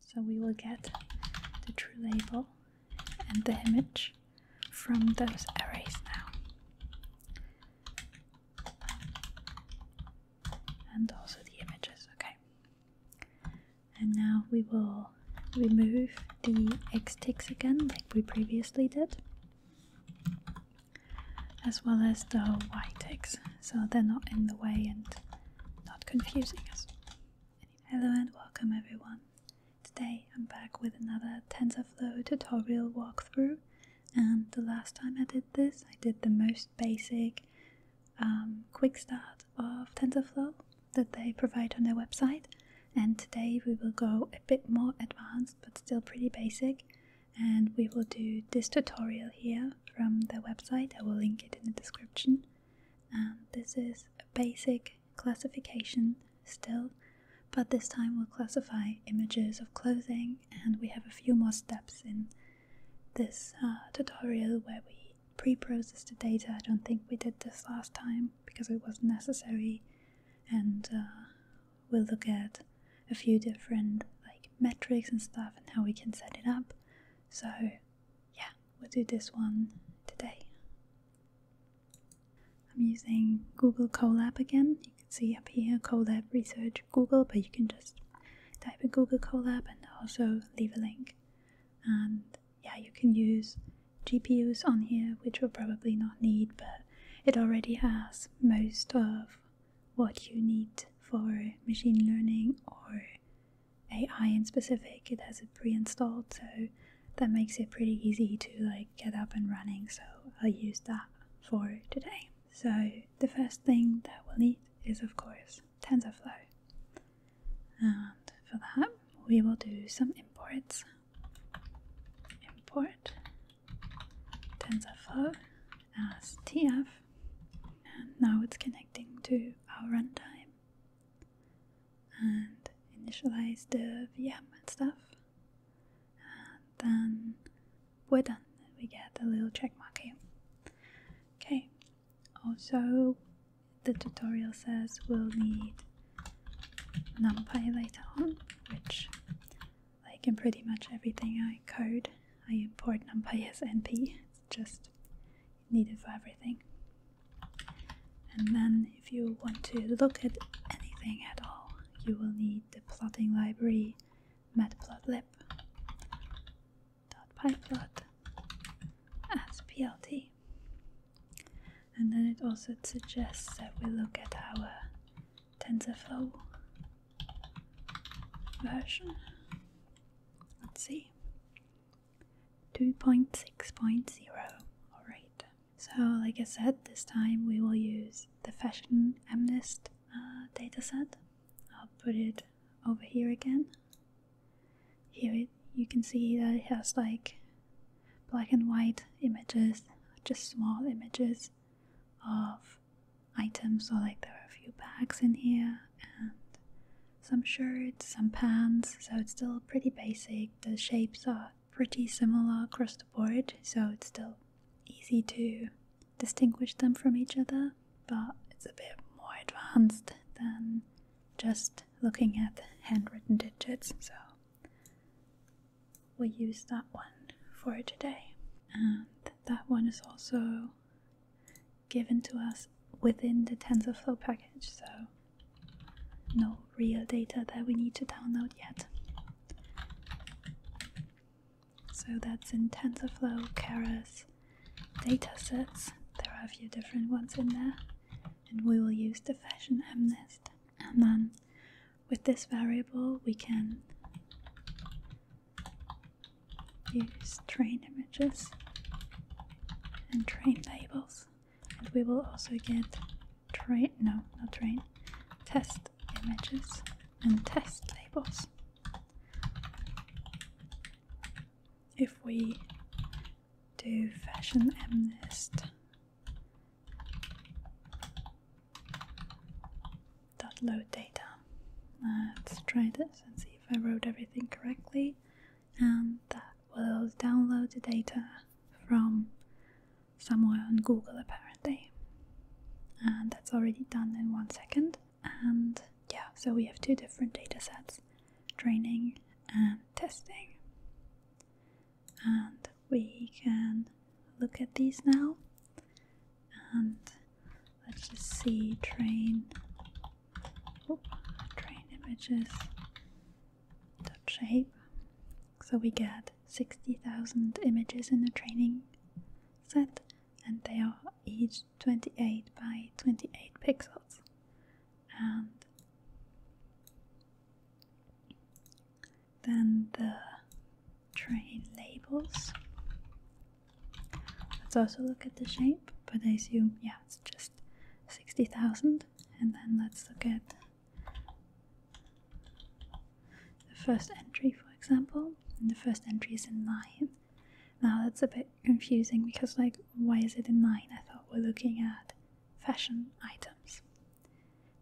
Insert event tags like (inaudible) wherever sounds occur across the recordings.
So we will get the true label and the image from those arrays now. And also the images, okay. And now we will remove the X ticks again, like we previously did, as well as the Y ticks, so they're not in the way and not confusing us. Hello and welcome everyone. Today I'm back with another TensorFlow tutorial walkthrough and the last time I did this I did the most basic um, quick start of TensorFlow that they provide on their website and today we will go a bit more advanced but still pretty basic and we will do this tutorial here from their website. I will link it in the description and um, this is a basic classification still, but this time we'll classify images of clothing, and we have a few more steps in this uh, tutorial where we pre process the data. I don't think we did this last time because it was necessary, and uh, we'll look at a few different like metrics and stuff and how we can set it up. So, yeah, we'll do this one today. I'm using Google Colab again. You can see up here Colab Research Google, but you can just type in Google Colab and also leave a link. And yeah, you can use GPUs on here, which we'll probably not need, but it already has most of what you need for machine learning or AI in specific, it has it pre-installed, so that makes it pretty easy to like get up and running. So I'll use that for today. So the first thing that we'll need is of course TensorFlow, and for that we will do some imports. Import TensorFlow as TF, and now it's connecting to our runtime and initialize the VM and stuff. And then we're done. We get a little checkmark here. Okay, also the tutorial says we'll need NumPy later on, which like in pretty much everything I code, I import NumPy as NP. It's just needed for everything. And then, if you want to look at anything at all, you will need the plotting library matplotlib, .pyplot, as plt. And then it also suggests that we look at our TensorFlow version. Let's see. 2.6.0. Alright, so like I said, this time we will use the Fashion MNIST uh, dataset. I'll put it over here again. Here it, you can see that it has like black and white images, just small images of items, so like there are a few bags in here, and some shirts, some pants, so it's still pretty basic. The shapes are pretty similar across the board, so it's still easy to distinguish them from each other, but it's a bit more advanced than just looking at handwritten digits, so we'll use that one for today. And that one is also given to us within the TensorFlow package, so no real data that we need to download yet. So that's in TensorFlow Keras datasets. There are a few different ones in there, and we will use the fashion MNIST. And then with this variable, we can use train images and train labels and we will also get train no not train test images and test labels if we do fashion MNIST dot load data let's try this and see if I wrote everything correctly and that will download the data from somewhere on Google apparently. And that's already done in one second. And yeah, so we have two different data sets training and testing. And we can look at these now. And Let's just see train. Oh, train images. Dot shape. So we get 60,000 images in the training set, and they are each 28 by 28 pixels. And then the train labels Let's also look at the shape, but I assume, yeah, it's just 60,000. And then let's look at the first entry, for example. And the first entry is in 9. Now that's a bit confusing because, like, why is it in 9? I thought we're looking at fashion items.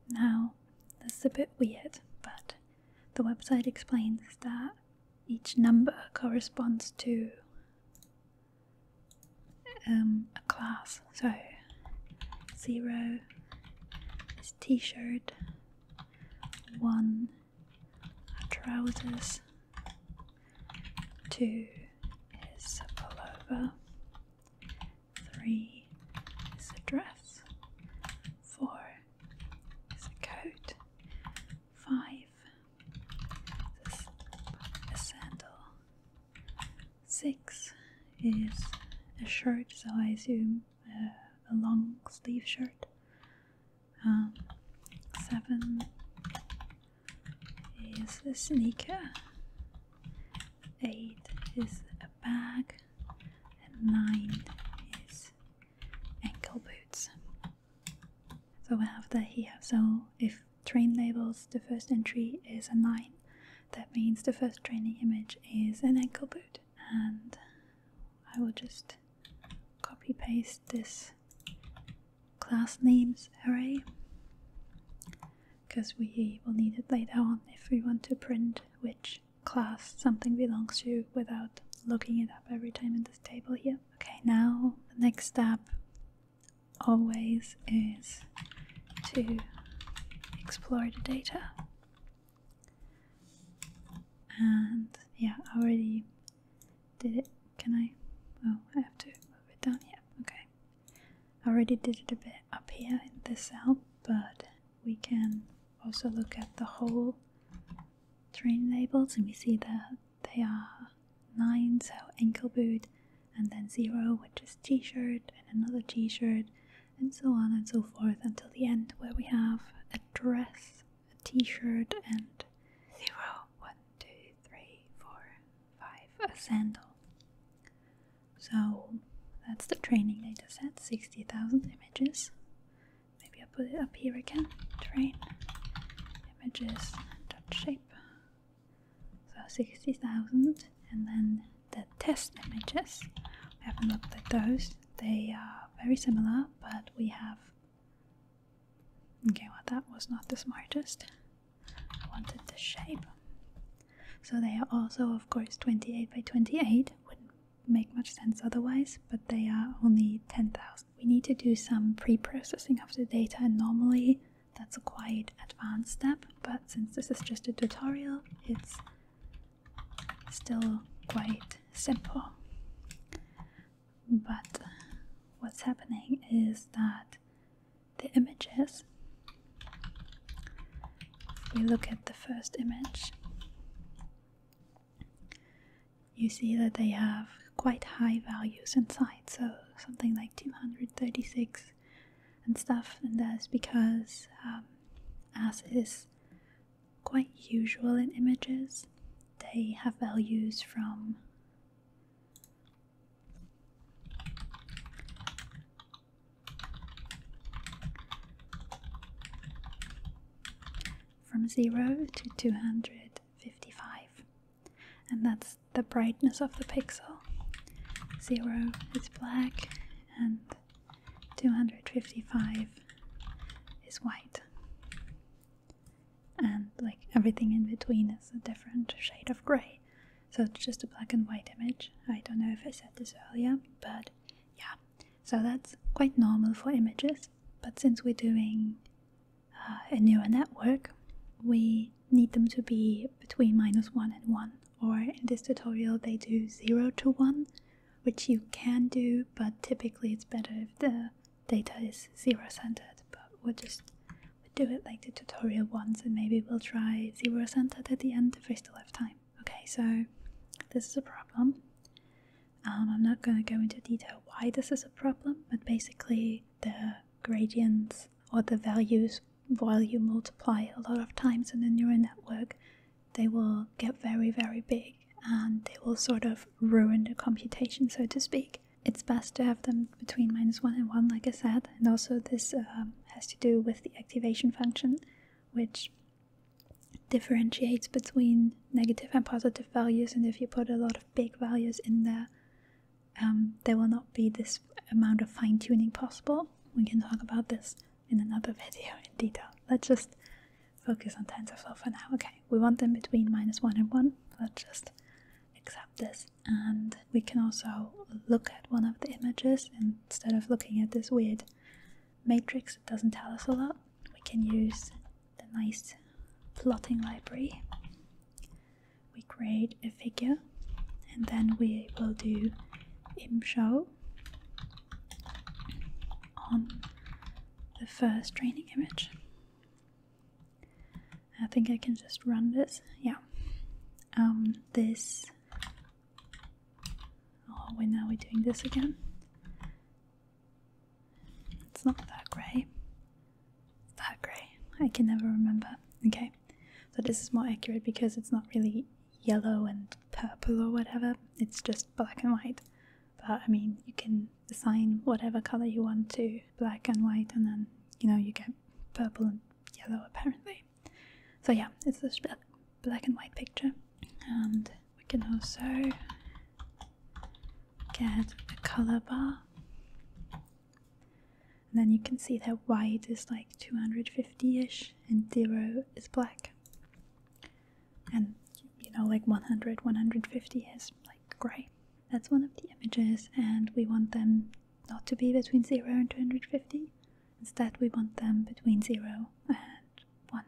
Now, that's a bit weird, but the website explains that each number corresponds to um, a class. So zero is t-shirt, one trousers, two is a pullover, three is a dress, four is a coat, five. This a sandal. Six is a shirt, so I assume uh, a long sleeve shirt. Um, seven is a sneaker. Eight is a bag, and nine is ankle boots. So we have the here. So if train labels, the first entry is a 9. That means the first training image is an ankle boot. And I will just copy paste this class names array because we will need it later on if we want to print which class something belongs to without looking it up every time in this table here. Okay, now the next step always is to explore the data. And yeah, I already did it. Can I? Oh, I have to move it down here. Okay. I already did it a bit up here in this cell, but we can also look at the whole train labels and we see that they are 9 so ankle boot and then 0 which is t-shirt and another t-shirt and so on and so forth until the end where we have a dress, a t-shirt and 0, 1, 2, 3, 4, 5, a sandal. So that's the training data set, 60,000 images. Maybe I'll put it up here again, train images dot shape. So 60,000 and then the test images. We haven't looked at those. They are very similar, but we have Okay, well that was not the smartest. I wanted the shape. So they are also of course 28 by 28. Wouldn't make much sense otherwise, but they are only 10,000 we need to do some pre-processing of the data and normally that's a quite advanced step but since this is just a tutorial it's still quite simple but what's happening is that the images we look at the first image you see that they have quite high values inside, so something like 236 and stuff, and that's because, um, as is quite usual in images, they have values from from 0 to 255 and that's the brightness of the pixel. Zero is black, and 255 is white. And like everything in between is a different shade of grey. So it's just a black and white image. I don't know if I said this earlier, but yeah. So that's quite normal for images. But since we're doing uh, a neural network, we need them to be between minus 1 and 1. Or in this tutorial, they do 0 to 1, which you can do, but typically it's better if the data is zero-centered. But we'll just do it like the tutorial once, and maybe we'll try zero-centered at the end if we still have time. Okay, so this is a problem. Um, I'm not going to go into detail why this is a problem, but basically, the gradients or the values while you multiply a lot of times in the neural network, they will get very, very big and they will sort of ruin the computation, so to speak. It's best to have them between minus 1 and 1, like I said, and also this um, has to do with the activation function, which differentiates between negative and positive values, and if you put a lot of big values in there, um, there will not be this amount of fine tuning possible. We can talk about this in another video in detail. Let's just focus on TensorFlow for now. Okay, we want them between minus 1 and 1. Let's just accept this. And we can also look at one of the images instead of looking at this weird matrix. It doesn't tell us a lot. We can use the nice plotting library, we create a figure and then we will do imshow on the first training image. I think I can just run this. Yeah. Um, this. Oh, wait, now we're doing this again. It's not that grey. That grey. I can never remember. Okay, so this is more accurate because it's not really yellow and purple or whatever, it's just black and white. But I mean, you can assign whatever color you want to black and white, and then you know, you get purple and yellow apparently. So, yeah, it's a black and white picture, and we can also get the color bar and then you can see that white is like 250-ish and zero is black and you know like 100 150 is like gray that's one of the images and we want them not to be between 0 and 250 instead we want them between 0 and 1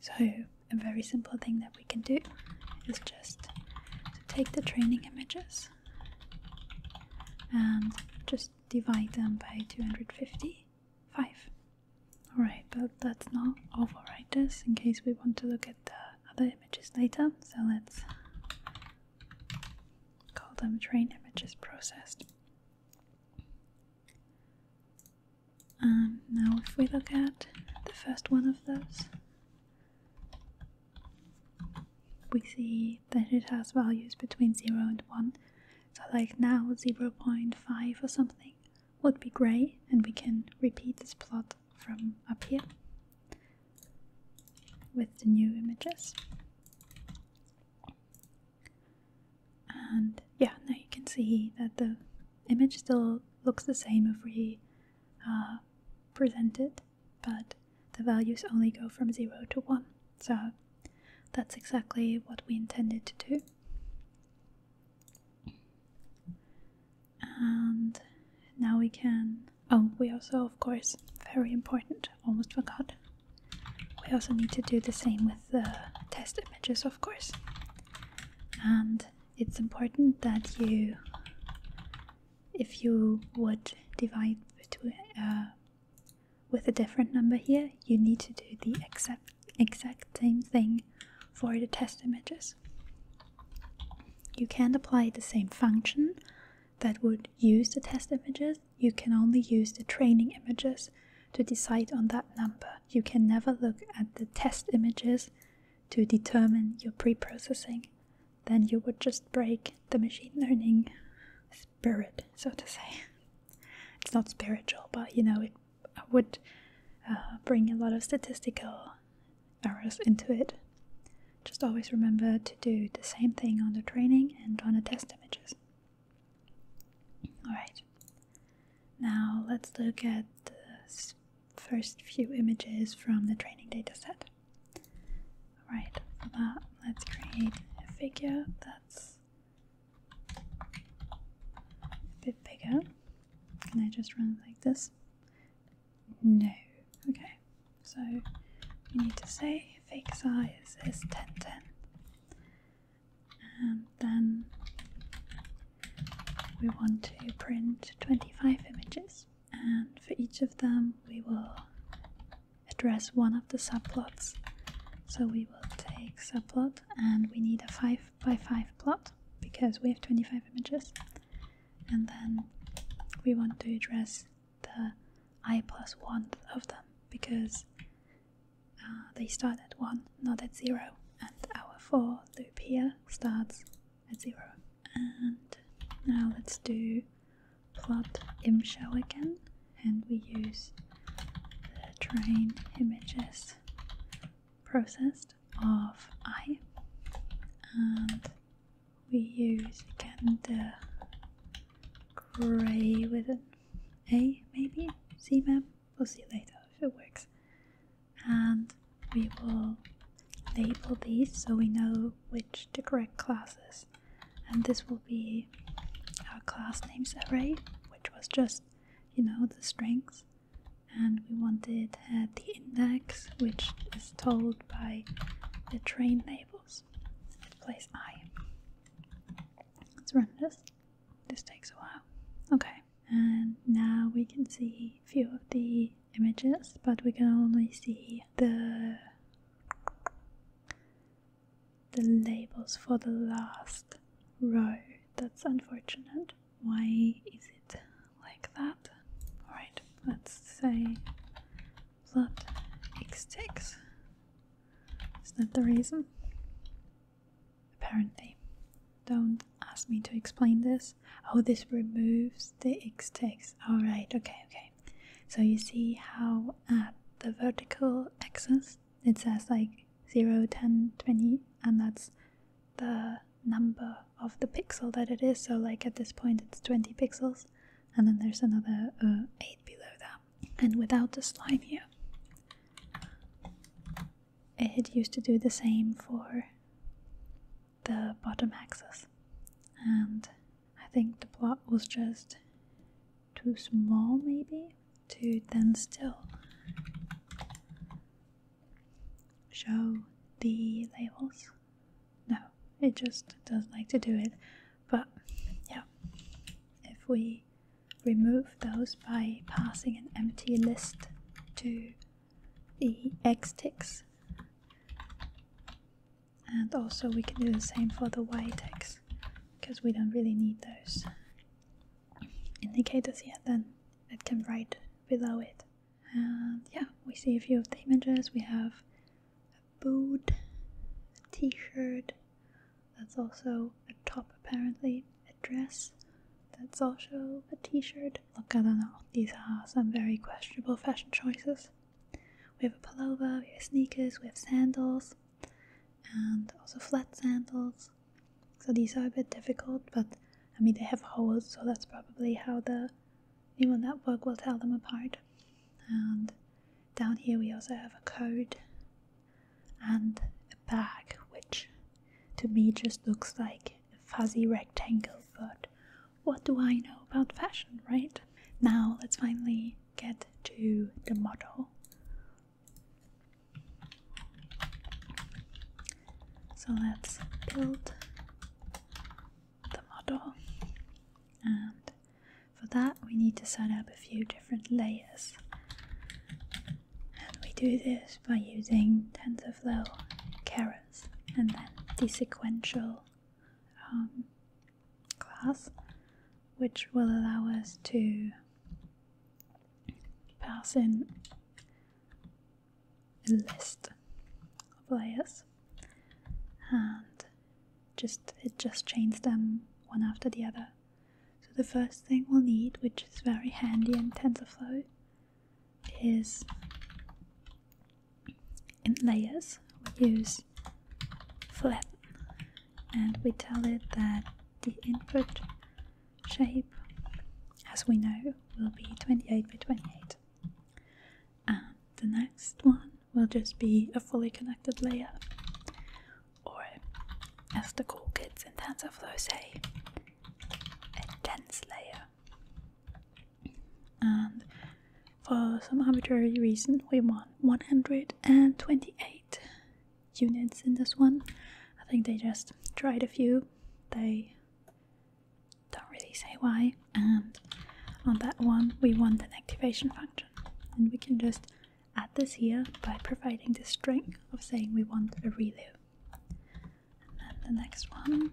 so a very simple thing that we can do is just take the training images and just divide them by 255. Alright, but that's not overwrite this in case we want to look at the other images later. So let's call them train images processed. Um, now, if we look at the first one of those, we see that it has values between 0 and 1. So, like now, 0.5 or something would be grey, and we can repeat this plot from up here with the new images. And yeah, now you can see that the image still looks the same if we uh, presented, but the values only go from 0 to 1. So that's exactly what we intended to do. And now we can. Oh, we also, of course, very important, almost forgot. We also need to do the same with the test images, of course. And it's important that you if you would divide uh, with a different number here, you need to do the exact, exact same thing for the test images. You can't apply the same function that would use the test images, you can only use the training images to decide on that number. You can never look at the test images to determine your pre-processing, then you would just break the machine learning spirit, so to say. (laughs) It's not spiritual, but you know it would uh, bring a lot of statistical errors into it. Just always remember to do the same thing on the training and on the test images. Alright, now let's look at the first few images from the training dataset. Alright, for that, let's create a figure that's a bit bigger. Can I just run it like this? No. Okay, so we need to say fig size is 1010. And then we want to print 25 images and for each of them we will address one of the subplots. So we will take subplot and we need a 5 by 5 plot because we have 25 images. And then we want to address the i plus 1 of them because uh, they start at 1, not at 0. And our for loop here starts a zero. And now let's do plot imshow again, and we use the train images processed of i, and we use again the gray with a maybe. CMAP. We'll see later if it works and we will label these so we know which the correct classes and this will be our class names array which was just you know the strings and we wanted uh, the index which is told by the train labels it plays i let's run this this takes a while okay and now we can see a few of the images, but we can only see the the labels for the last row. That's unfortunate. Why is it like that? Alright, let's say plot x ticks. Is that the reason? Apparently. Don't Ask me to explain this. Oh, this removes the x text. All right, okay, okay. So you see how at the vertical axis it says like 0, 10, 20, and that's the number of the pixel that it is. So, like at this point, it's 20 pixels, and then there's another uh, 8 below that. And without the slime here, it used to do the same for the bottom axis. And I think the plot was just too small, maybe, to then still show the labels. No, it just does not like to do it. But yeah, if we remove those by passing an empty list to the X ticks. And also we can do the same for the Y ticks because we don't really need those indicators here. then it can write below it. And yeah, we see a few of the images. We have a boot, a t-shirt, that's also a top apparently, a dress, that's also a t-shirt, Look, I don't know. These are some very questionable fashion choices. We have a pullover, we have sneakers, we have sandals, and also flat sandals. So these are a bit difficult, but I mean, they have holes, so that's probably how the neural network will tell them apart. And down here, we also have a code and a bag, which to me just looks like a fuzzy rectangle, but what do I know about fashion, right? Now let's finally get to the model. So let's build the model, and for that, we need to set up a few different layers. And we do this by using TensorFlow Carrot and then the sequential um, class, which will allow us to pass in a list of layers and just it just chains them one after the other. So the first thing we'll need, which is very handy in TensorFlow, is in layers we use flat, and we tell it that the input shape as we know will be 28 by 28 and the next one will just be a fully connected layer or as the cool kids in TensorFlow say a dense layer and for some arbitrary reason we want 128 units in this one i think they just tried a few they don't really say why and on that one we want an activation function and we can just add this here by providing the string of saying we want a ReLU and then the next one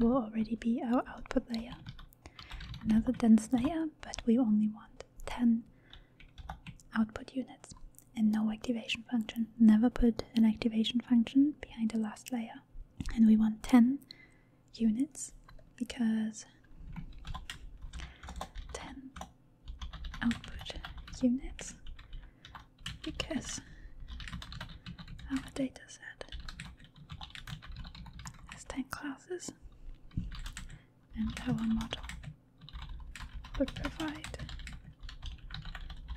will already be our output layer another dense layer but we only want 10 output units and no activation function never put an activation function behind the last layer and we want 10 units because 10 output units because our data set has 10 classes and our model would provide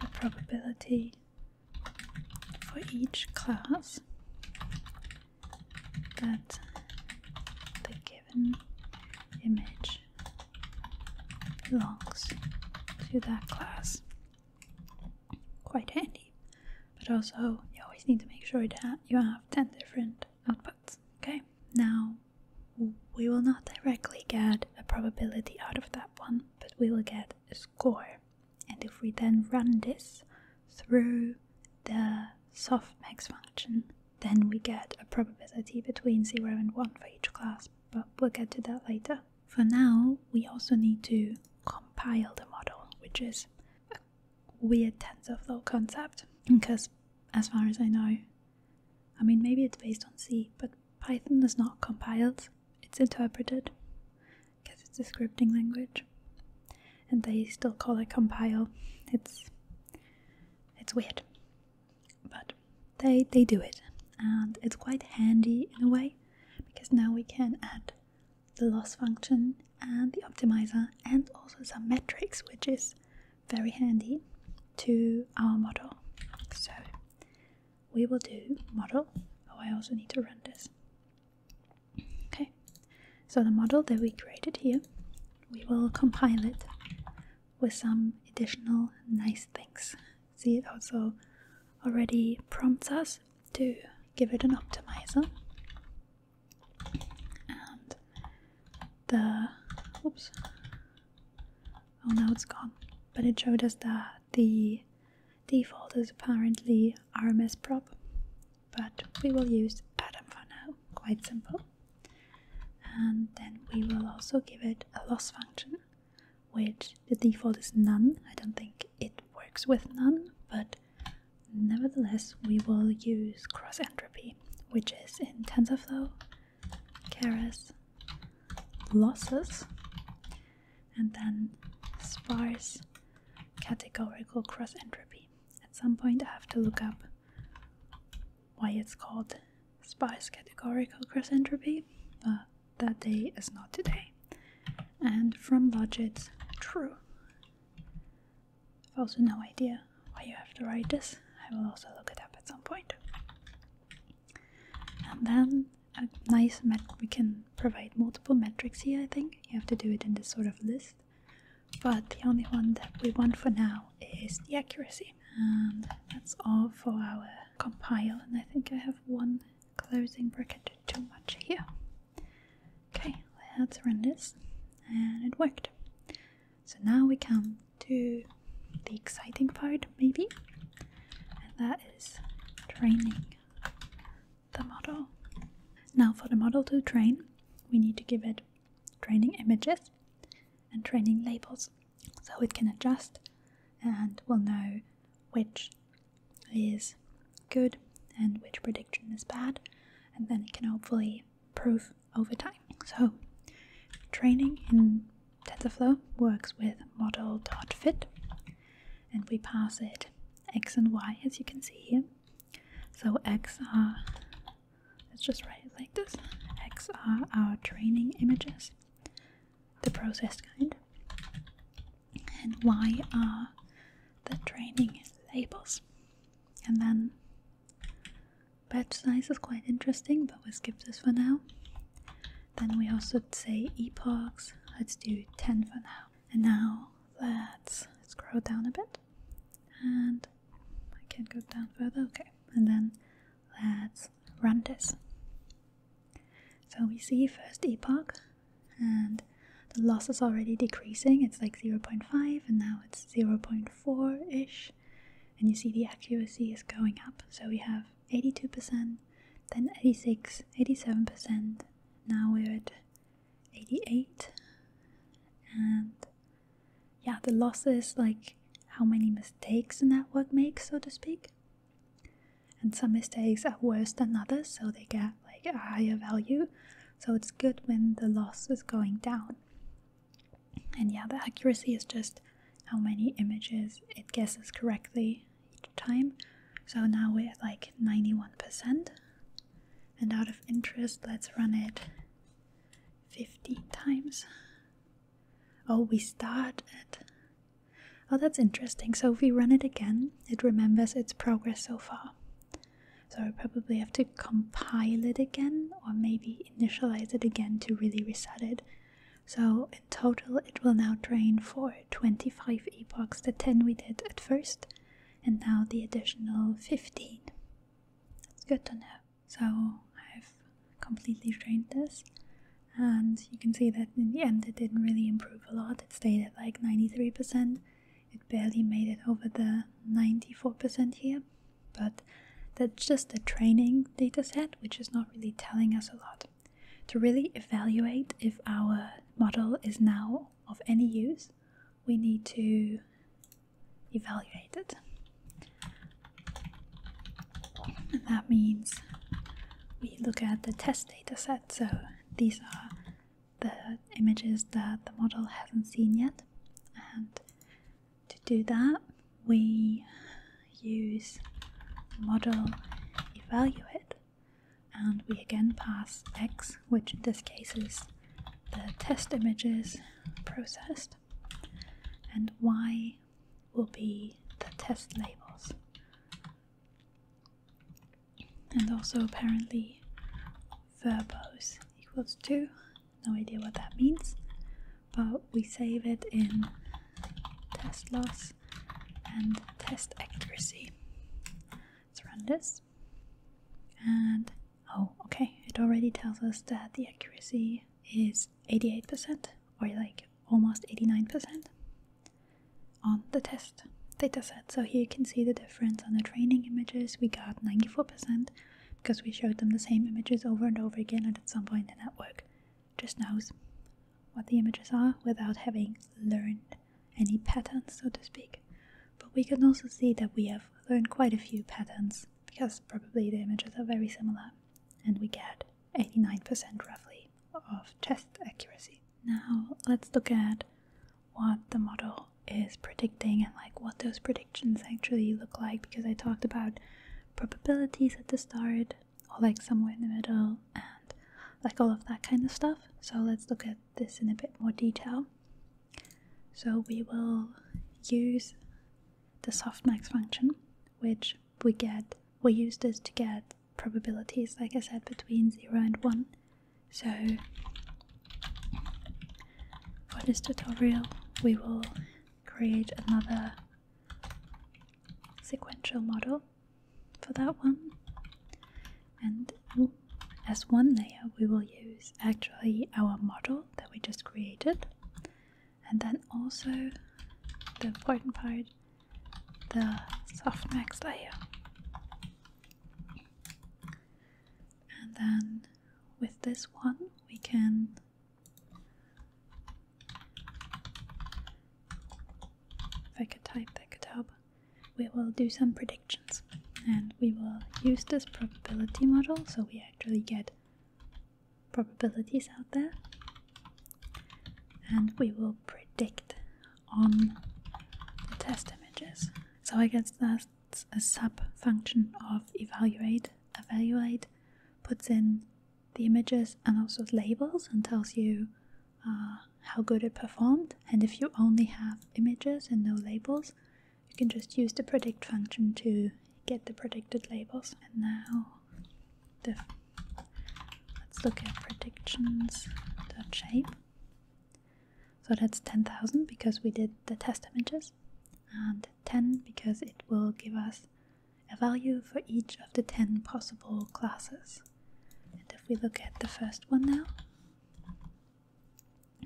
a probability for each class that the given image belongs to that class quite handy. But also, you always need to make sure that you have 10 different outputs. Okay, now we will not directly get a probability out of that one, but we will get a score. And if we then run this through the softmax function, then we get a probability between 0 and 1 for each class, but we'll get to that later. For now, we also need to compile the model, which is a weird TensorFlow concept because, as far as I know, I mean, maybe it's based on C, but Python is not compiled, it's interpreted because it's a scripting language and they still call it compile. It's it's weird. But they they do it and it's quite handy in a way because now we can add the loss function and the optimizer and also some metrics which is very handy to our model so we will do model oh i also need to run this okay so the model that we created here we will compile it with some additional nice things see it also already prompts us to give it an optimizer and the oops oh now it's gone but it showed us that the default is apparently rms prop but we will use Adam for now quite simple and then we will also give it a loss function which the default is none. I don't think it works with none, but nevertheless, we will use cross entropy, which is in TensorFlow, Keras, losses, and then sparse categorical cross entropy. At some point, I have to look up why it's called sparse categorical cross entropy, but that day is not today. And from logit, true. I've also no idea why you have to write this. I will also look it up at some point. And then a nice we can provide multiple metrics here, I think. You have to do it in this sort of list. But the only one that we want for now is the accuracy. And that's all for our compile. And I think I have one closing bracket too much here. Okay, let's run this and it worked. So now we come to the exciting part maybe and that is training the model. Now for the model to train we need to give it training images and training labels so it can adjust and will know which is good and which prediction is bad, and then it can hopefully prove over time. So, training in TensorFlow works with model.fit, and we pass it x and y as you can see here. So, x are, let's just write it like this x are our training images, the processed kind, and why are the training labels. And then batch size is quite interesting, but we skip this for now. Then we also say epochs, let's do 10 for now. And now let's scroll down a bit. And I can go down further, okay. And then let's run this. So we see first epoch, and the loss is already decreasing. It's like 0.5, and now it's 0.4 ish. And you see the accuracy is going up. So we have 82%, then 86, 87%. Now we're at 88. And yeah, the loss is like how many mistakes the network makes, so to speak and some mistakes are worse than others, so they get like a higher value. So it's good when the loss is going down. And yeah, the accuracy is just how many images it guesses correctly each time. So now we're at like 91%. And out of interest, let's run it fifteen times. Oh, we start at Oh, that's interesting. So if we run it again, it remembers its progress so far. So I probably have to compile it again or maybe initialize it again to really reset it. So in total, it will now train for 25 epochs, the 10 we did at first, and now the additional 15. That's good to know. So I've completely trained this and you can see that in the end it didn't really improve a lot. It stayed at like 93%. It barely made it over the 94% here, but that's just the training data set, which is not really telling us a lot. To really evaluate if our model is now of any use, we need to evaluate it. And that means we look at the test data set. So these are the images that the model hasn't seen yet and to do that we use model evaluate and we again pass x which in this case is the test images processed and y will be the test labels and also apparently verbos equals 2. No idea what that means, but we save it in test loss and test accuracy. Let's run this. And oh, okay, it already tells us that the accuracy is 88% or like almost 89% on the test dataset. So here you can see the difference on the training images. We got 94% because we showed them the same images over and over again, and at some point the network just knows what the images are without having learned any patterns, so to speak. But we can also see that we have learned quite a few patterns because probably the images are very similar, and we get 89% roughly of test accuracy. Now let's look at what the model is predicting and like what those predictions actually look like because I talked about probabilities at the start or like somewhere in the middle and like all of that kind of stuff. So let's look at this in a bit more detail. So we will use the softmax function which we get we use this to get probabilities, like I said, between 0 and 1. So, for this tutorial, we will create another sequential model for that one. And as one layer, we will use actually our model that we just created, and then also the important part the softmax layer. And then with this one, we can if I could type, I could help. We will do some predictions and we will use this probability model so we actually get probabilities out there and we will predict on the test images. So I guess that's a sub function of evaluate. Evaluate puts in the images and also labels and tells you uh, how good it performed. And if you only have images and no labels, you can just use the predict function to get the predicted labels. And now the Let's look at predictions.shape. So that's 10,000 because we did the test images, and 10 because it will give us a value for each of the 10 possible classes. And if we look at the first one now,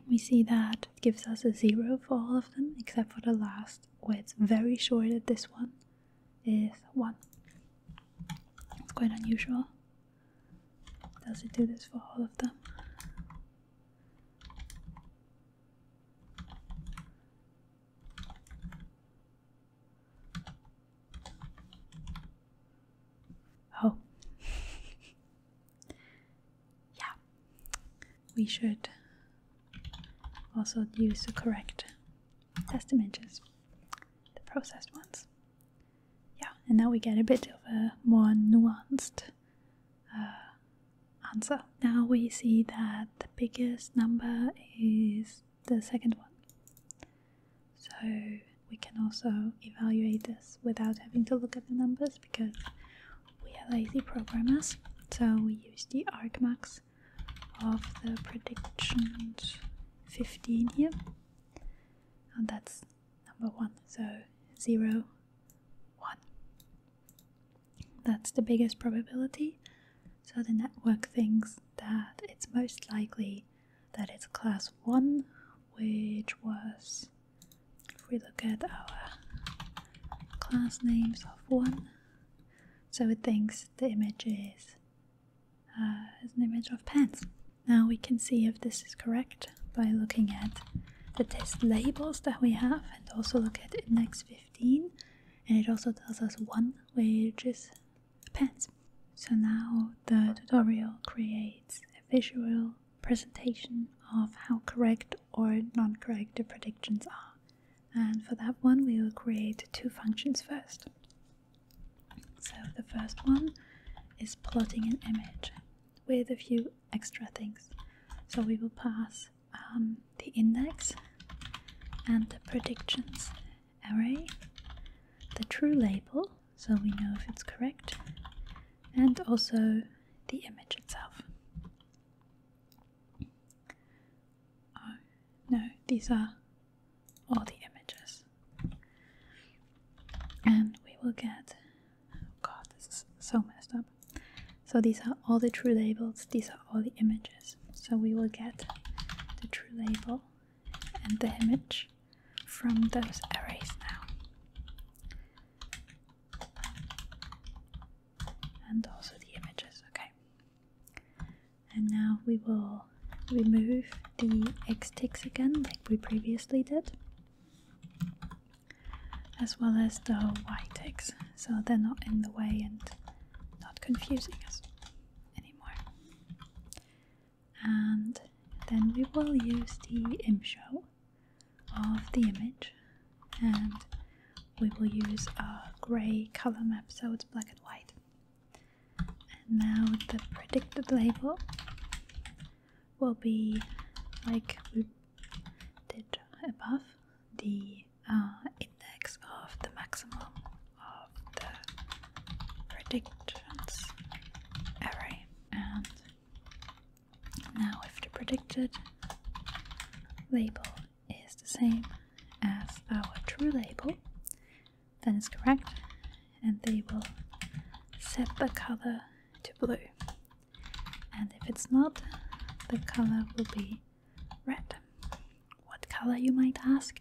we see that it gives us a zero for all of them except for the last, where it's very short at this one is 1. It's quite unusual. Does it do this for all of them? Oh. (laughs) yeah. We should also use the correct test images, the processed ones yeah, and now we get a bit of a more nuanced uh, answer. Now we see that the biggest number is the second one. So we can also evaluate this without having to look at the numbers because we are lazy programmers. So we use the argmax of the predictions 15 here and that's number one. So zero, one. That's the biggest probability. So the network thinks that it's most likely that it's class one, which was if we look at our class names of one. So it thinks the image is uh, as an image of pants. Now we can see if this is correct by looking at the test labels that we have and also look at index 15 and it also tells us one which is pants. So now the tutorial creates a visual presentation of how correct or non-correct the predictions are. And for that one, we will create two functions first. So the first one is plotting an image with a few extra things. So we will pass um, the index and the predictions array, the true label, so we know if it's correct, and also the image itself. Oh, no, these are all the images. And we will get. Oh God, this is so messed up. So these are all the true labels, these are all the images. So we will get the true label and the image from those arrays now. And also the images, okay. And now we will remove the X ticks again, like we previously did, as well as the Y ticks, so they're not in the way and not confusing us anymore. And then we will use the imshow of the image, and we will use a grey color map so it's black and white. And now the predicted label will be like we did above the uh, index of the maximum of the predictions array. And now, if the predicted label is the same as our true label, then That is correct. And they will set the color to blue. And if it's not, the color will be red. What color, you might ask?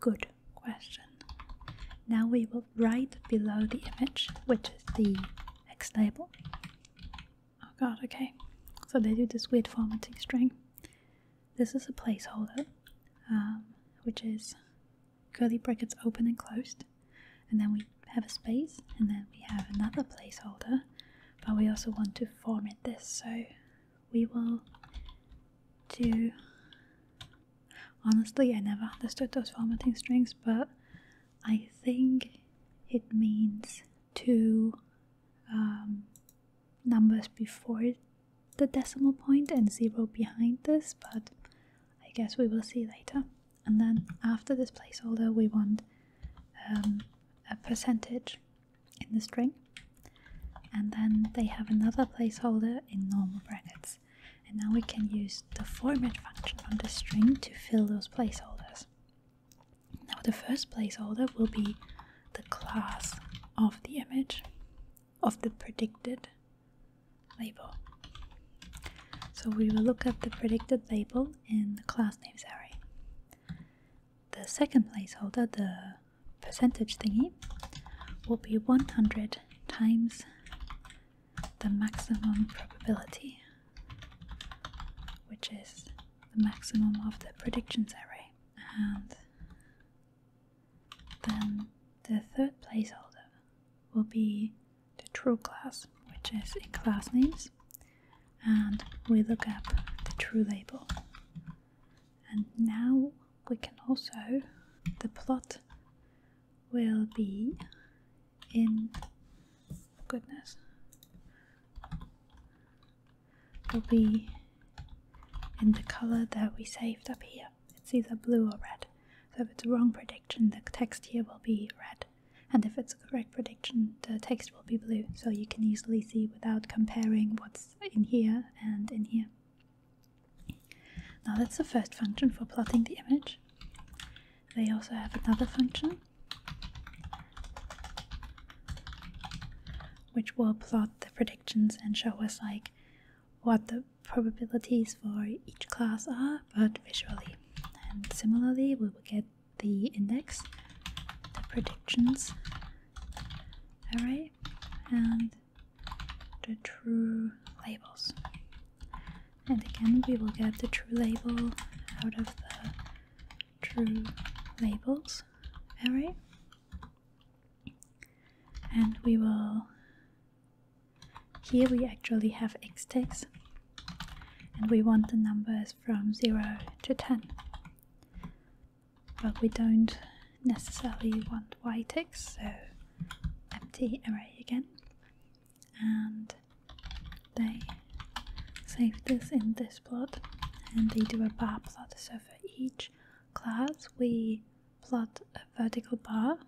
Good question. Now we will write below the image, which is the X label. Oh god, okay. So they do this weird formatting string. This is a placeholder, um, which is curly brackets open and closed, and then we have a space, and then we have another placeholder, but we also want to format this, so we will do. Honestly, I never understood those formatting strings, but I think it means to um, numbers before the decimal point and zero behind this, but I guess we will see later. And then after this placeholder, we want um, a percentage in the string. And then they have another placeholder in normal brackets. And now we can use the format function on the string to fill those placeholders. Now the first placeholder will be the class of the image of the predicted label. So we will look at the predicted label in the class names array. The second placeholder, the percentage thingy, will be 100 times the maximum probability, which is the maximum of the predictions array. And then the third placeholder will be the true class, which is in class names, and we look up the true label. And now we can also, the plot will be in goodness will be in the color that we saved up here it's either blue or red. So if it's a wrong prediction, the text here will be red. And if it's a correct prediction, the text will be blue. So you can easily see without comparing what's in here and in here. Now that's the first function for plotting the image. They also have another function which will plot the predictions and show us like what the probabilities for each class are, but visually. And similarly, we will get the index, the predictions all right, and the true labels. And again, we will get the true label out of the true labels all right and we will here we actually have x takes and we want the numbers from 0 to 10 but we don't necessarily want y takes so empty array again and they save this in this plot and they do a bar plot so for each class we plot a vertical bar.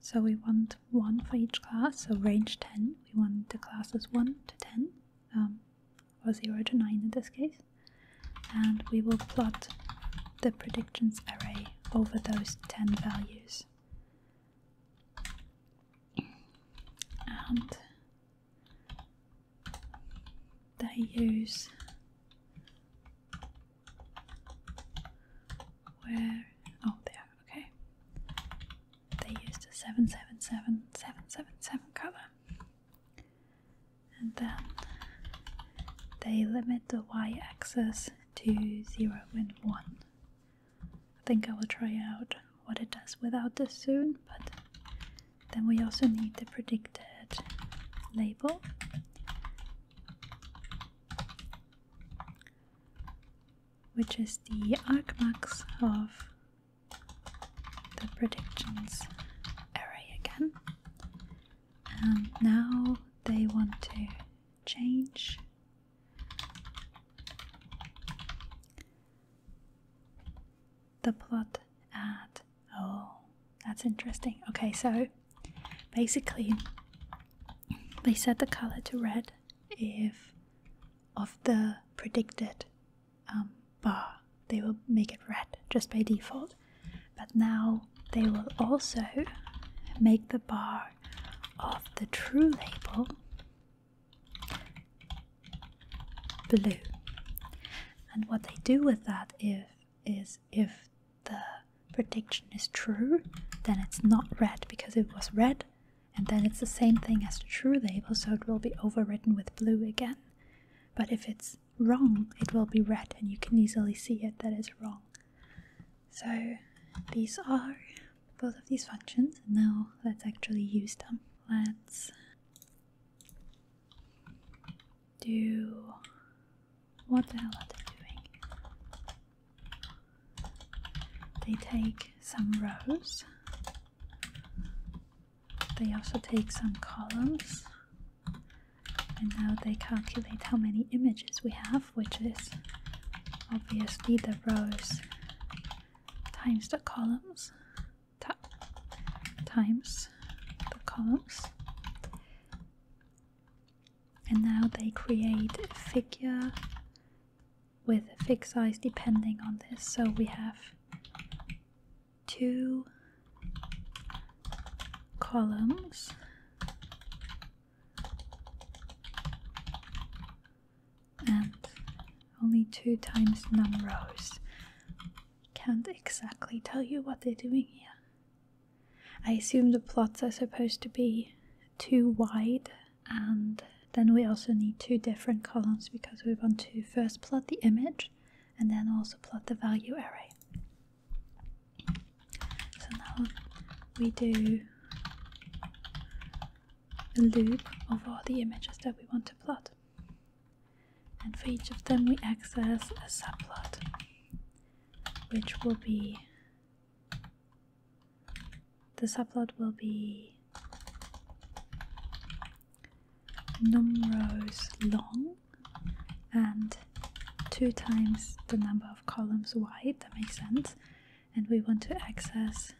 So we want one for each class, so range 10, we want the classes 1 to 10, um, or 0 to 9 in this case. And we will plot the predictions array over those 10 values. And they use where oh there okay they use the 777 777 color and then they limit the y-axis to 0 and 1 I think I will try out what it does without this soon but then we also need the predicted label. Which is the argmax of the predictions array again. And now they want to change the plot at Oh, that's interesting. Okay, so basically, they set the color to red if of the predicted um, bar, they will make it red just by default. But now they will also make the bar of the true label blue. And what they do with that is is if the prediction is true, then it's not red because it was red, and then it's the same thing as the true label, so it will be overwritten with blue again. But if it's wrong, it will be red, and you can easily see it that is wrong. So these are both of these functions, and now let's actually use them. Let's do what the hell are they doing? They take some rows. They also take some columns. And now they calculate how many images we have, which is obviously the rows times the columns times the columns. And now they create a figure with a fixed size depending on this. So we have two columns and only two times num rows. Can't exactly tell you what they're doing here. I assume the plots are supposed to be too wide, and then we also need two different columns because we want to first plot the image and then also plot the value array. So now we do a loop of all the images that we want to plot and for each of them we access a subplot which will be the subplot will be numeros long and two times the number of columns wide that makes sense and we want to access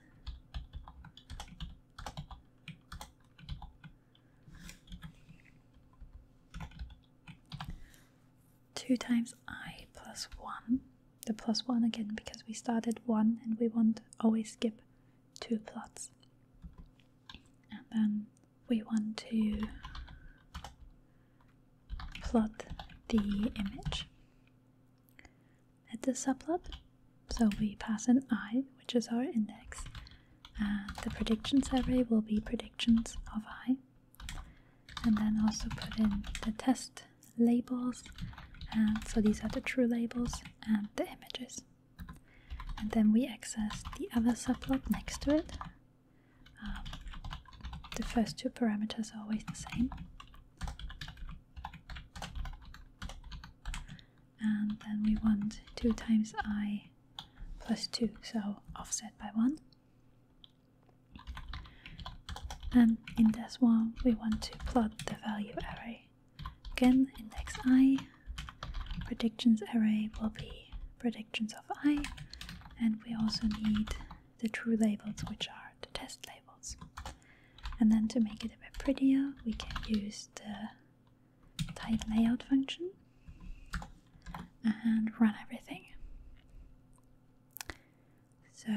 2 times i plus 1. The plus 1 again because we started 1 and we want to always skip 2 plots. And then we want to plot the image at the subplot. So we pass an i, which is our index, uh, the prediction array will be predictions of i, and then also put in the test labels. so these are the true labels and the images. And then we access the other subplot next to it. Um, the first two parameters are always the same. And then we want 2 times i plus 2, so offset by 1. And in this one, we want to plot the value array. Again, index i, predictions array will be predictions of i, and we also need the true labels, which are the test labels. And then to make it a bit prettier, we can use the type layout function and run everything. So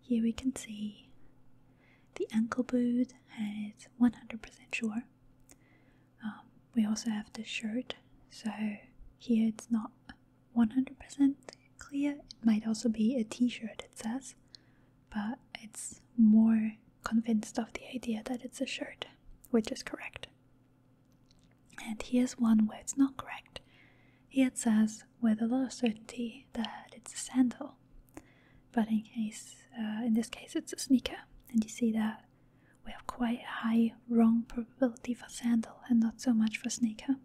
here we can see the ankle boot and it's 100% sure. Um, we also have the shirt, so here it's not 100% clear. It might also be a t shirt, it says, but it's more convinced of the idea that it's a shirt, which is correct. And here's one where it's not correct. Here it says with a lot of certainty that it's a sandal, but in case, uh, in this case, it's a sneaker. And you see that we have quite a high wrong probability for sandal and not so much for sneaker.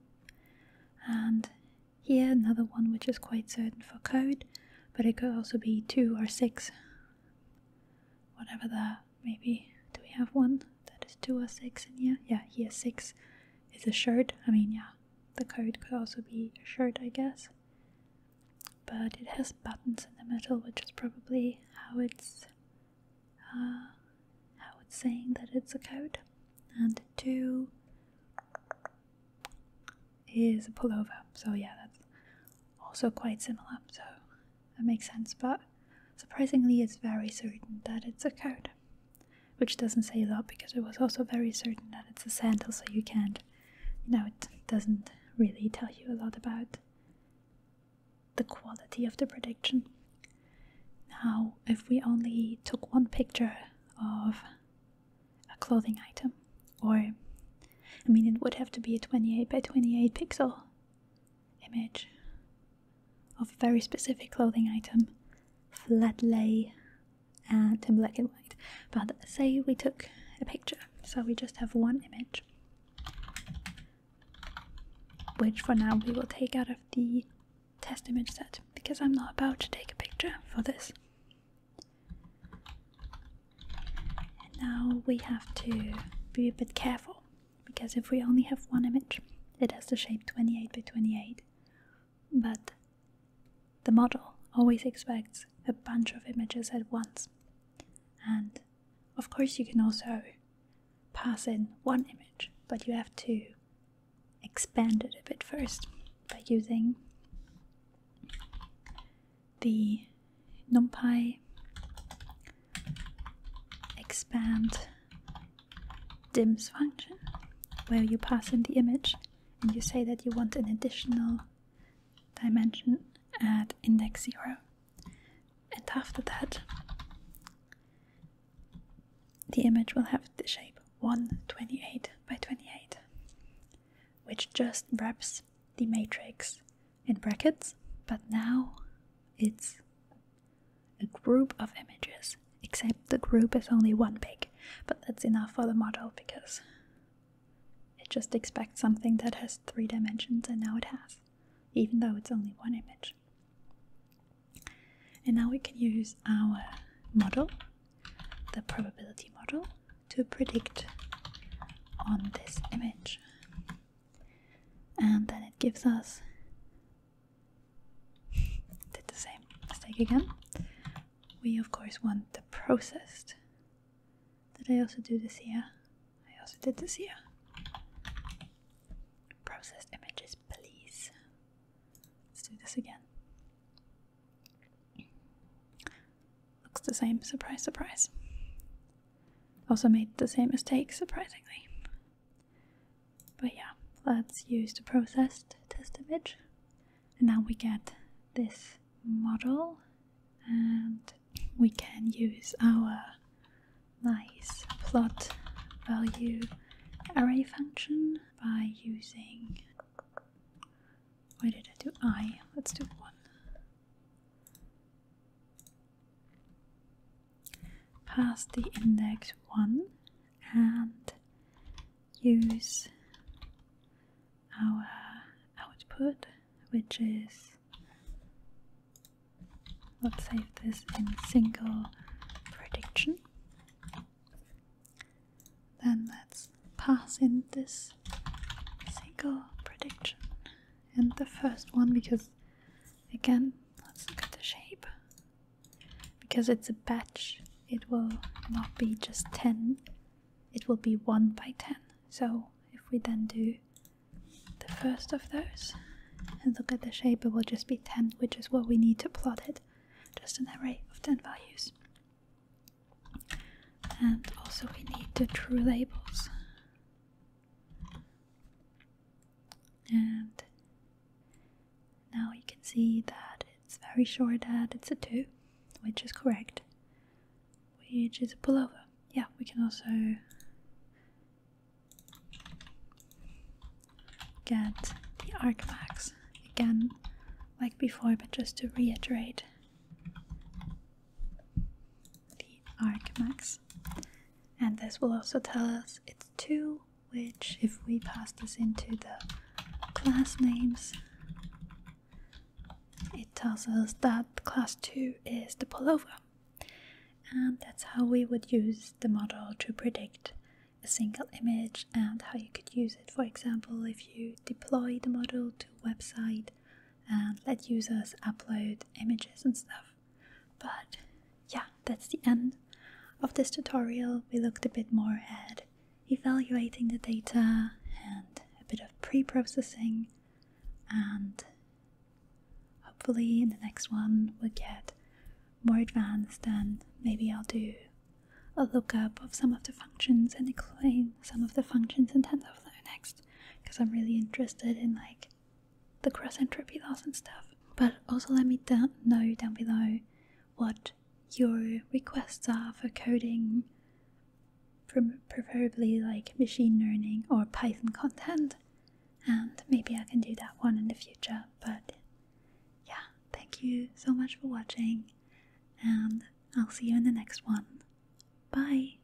And here another one which is quite certain for code, but it could also be two or six, whatever the maybe. Do we have one that is two or six in here? Yeah, here six is a shirt. I mean, yeah, the code could also be a shirt, I guess. But it has buttons in the middle, which is probably how it's uh, how it's saying that it's a code. And two is a pullover. So yeah, that's also quite similar, so that makes sense. But surprisingly, it's very certain that it's a code, which doesn't say a lot because it was also very certain that it's a sandal, so you can't, you know, it doesn't really tell you a lot about the quality of the prediction. Now, if we only took one picture of a clothing item, or I mean, it would have to be a 28 by 28 pixel image of a very specific clothing item, flat lay and in black and white. But say we took a picture, so we just have one image, which for now we will take out of the test image set because I'm not about to take a picture for this. And now we have to be a bit careful because if we only have one image, it has the shape 28 by 28. But the model always expects a bunch of images at once. And of course, you can also pass in one image, but you have to expand it a bit first by using the numpy expand dims function where you pass in the image and you say that you want an additional dimension at index 0 and after that the image will have the shape 128 by 28 which just wraps the matrix in brackets, but now it's a group of images, except the group is only one big, but that's enough for the model because it just expects something that has three dimensions and now it has, even though it's only one image. And now we can use our model, the probability model, to predict on this image and then it gives us did the same mistake again. We of course want the processed. Did I also do this here? I also did this here. Processed images, please. Let's do this again. Looks the same, surprise, surprise. Also made the same mistake, surprisingly. But yeah, let's use the processed test image. And now we get this model, and we can use our nice plot value array function by using. Why did I do I? Let's do one pass the index 1 and use our output which is let's save this in single prediction then let's pass in this single prediction and the first one because again let's look at the shape because it's a batch it will not be just 10 it will be 1 by 10 so if we then do the first of those and look at the shape it will just be 10 which is what we need to plot it just an array of 10 values and also we need the true labels and now you can see that it's very sure that it's a 2, which is correct, which is a pullover. Yeah, we can also get the arcmax again, like before, but just to reiterate the Archmax. And this will also tell us it's 2, which, if we pass this into the class names, it tells us that class 2 is the pullover. And that's how we would use the model to predict a single image and how you could use it, for example, if you deploy the model to a website and let users upload images and stuff. But yeah, that's the end of this tutorial. We looked a bit more at evaluating the data and a bit of pre processing, and hopefully, in the next one, we'll get more advanced and maybe I'll do a look up of some of the functions and explain some of the functions in TensorFlow next because I'm really interested in like the cross entropy loss and stuff. But also let me know down below what your requests are for coding, from preferably like machine learning or Python content. And maybe I can do that one in the future. But yeah, thank you so much for watching, and I'll see you in the next one. Bye!